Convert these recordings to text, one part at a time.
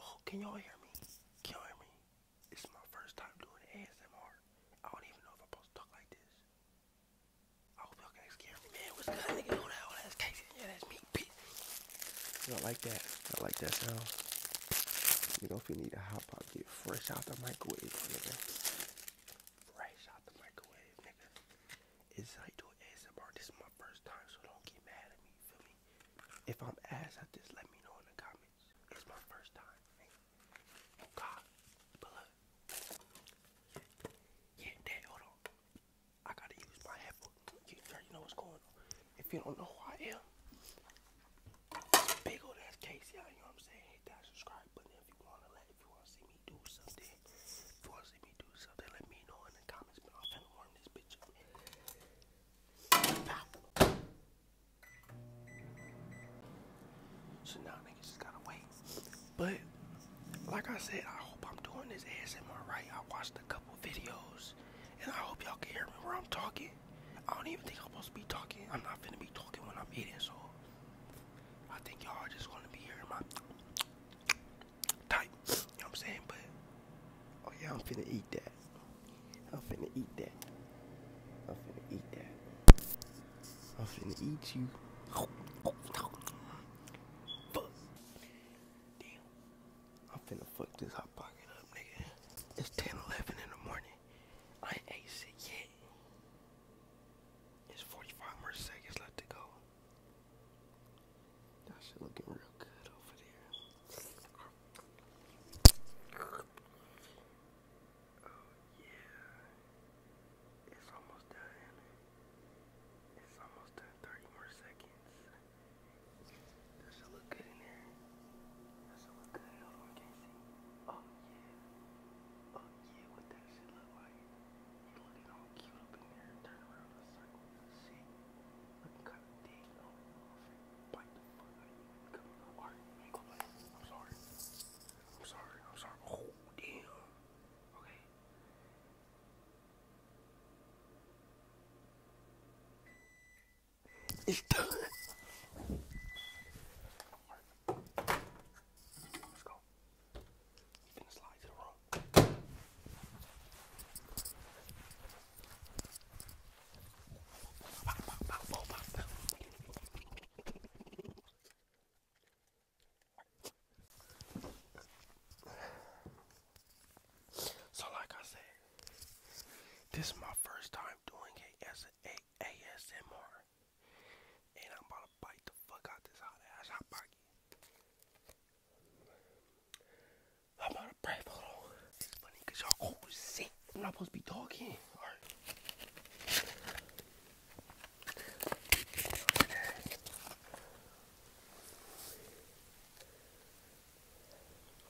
Oh, can y'all hear me? Can y'all hear me? This is my first time doing ASMR. I don't even know if I'm supposed to talk like this. I hope y'all can scare me. Man, what's good? Nigga, hold that, that's Casey. Yeah, that's me. Peace. I like that. I like that sound. You know, if you need a hot pop, get fresh out the microwave, nigga. Fresh out the microwave, nigga is I do ASMR. This is my first time, so don't get mad at me. feel me? If I'm ass I just let me know in the comments. It's my first time. God, but look. Yeah, Dad, hold on. I gotta use my headphones. You, know what's going on. If you don't know who I am, big old ass case, You know what I'm saying? Hit that subscribe button if you wanna let, if you wanna see me do something i So now niggas just gotta wait. But like I said, I hope I'm doing this ASMR right. I watched a couple videos and I hope y'all can hear me where I'm talking. I don't even think I'm supposed to be talking. I'm not finna be talking when I'm eating, so I think y'all just wanna be hearing my type. You know what I'm saying? But oh yeah, I'm finna eat that. I'm finna eat that. I'm finna eat that. I'm finna eat you. Fuck. Damn. I'm finna fuck this hot pocket up, nigga. It's 10, in the morning. I ain't ate shit yet. There's 45 more seconds left to go. That shit looking real good over there. Oh yeah. It's almost done. It's almost done. 30 more seconds. That should look good in there. That should look good. Hold on, Oh yeah. Oh, yeah, what that shit look like? You looking all cute up in there, turn around in a circle and shit. Looking kind of dead on Come on, I am sorry. I'm sorry, I'm sorry. Oh, damn. Okay. It's done. So like I said, this is my first time doing it. SMR a ASMR, and I'm about to bite the fuck out this hot ass hot pocket. I'm about to pray for all. It's funny y'all always sick. I'm not supposed to be talking. Alright.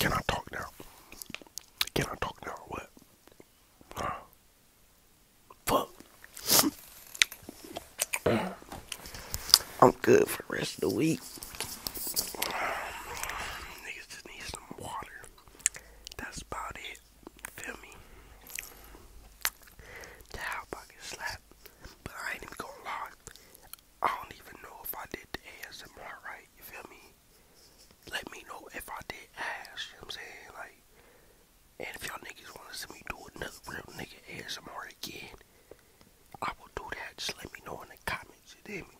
Can I talk now? Can I talk now or what? Fuck. I'm good for the rest of the week. Niggas just need some water. That's about it. Feel me? The pocket slap. But I ain't even gonna I don't even know if I did the ASMR right. You feel me? Let me know if I did ass. You know what I'm saying? Like, and if y'all niggas want to see me do another real nigga ASMR again, I will do that. Just let me know in the comments. You feel me?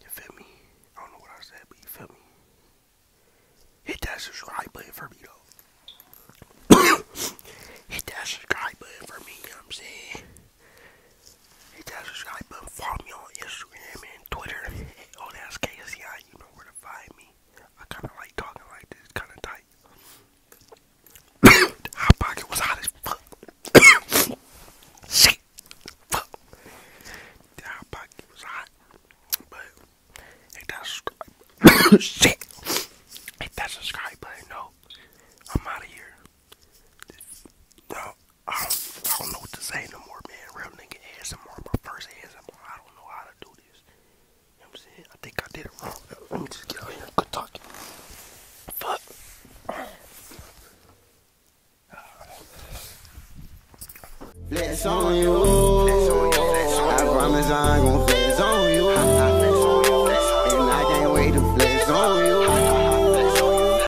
You feel me? I don't know what I said, but you feel me? Hit that subscribe button for me, though. Hit that subscribe button for me, you know what I'm saying? Hit that subscribe button. for me on Instagram and Twitter. Hey, all that's KCI. You know where to find me. I kind of like talking like this. kind of tight. Hot pocket was hot as fuck. Shit. Fuck. The hot pocket was hot. But hit that subscribe. Shit. Hit that subscribe button. No. I'm out of here. No. I don't, know what to say no more, man. Real nigga ASMR. My first ASMR. I don't know how to do this. I'm saying? I think I did it wrong. Let me just get out here. Good talking. Fuck. Flex on you. I promise I ain't gon' flex on you. And I can't wait to flex on you.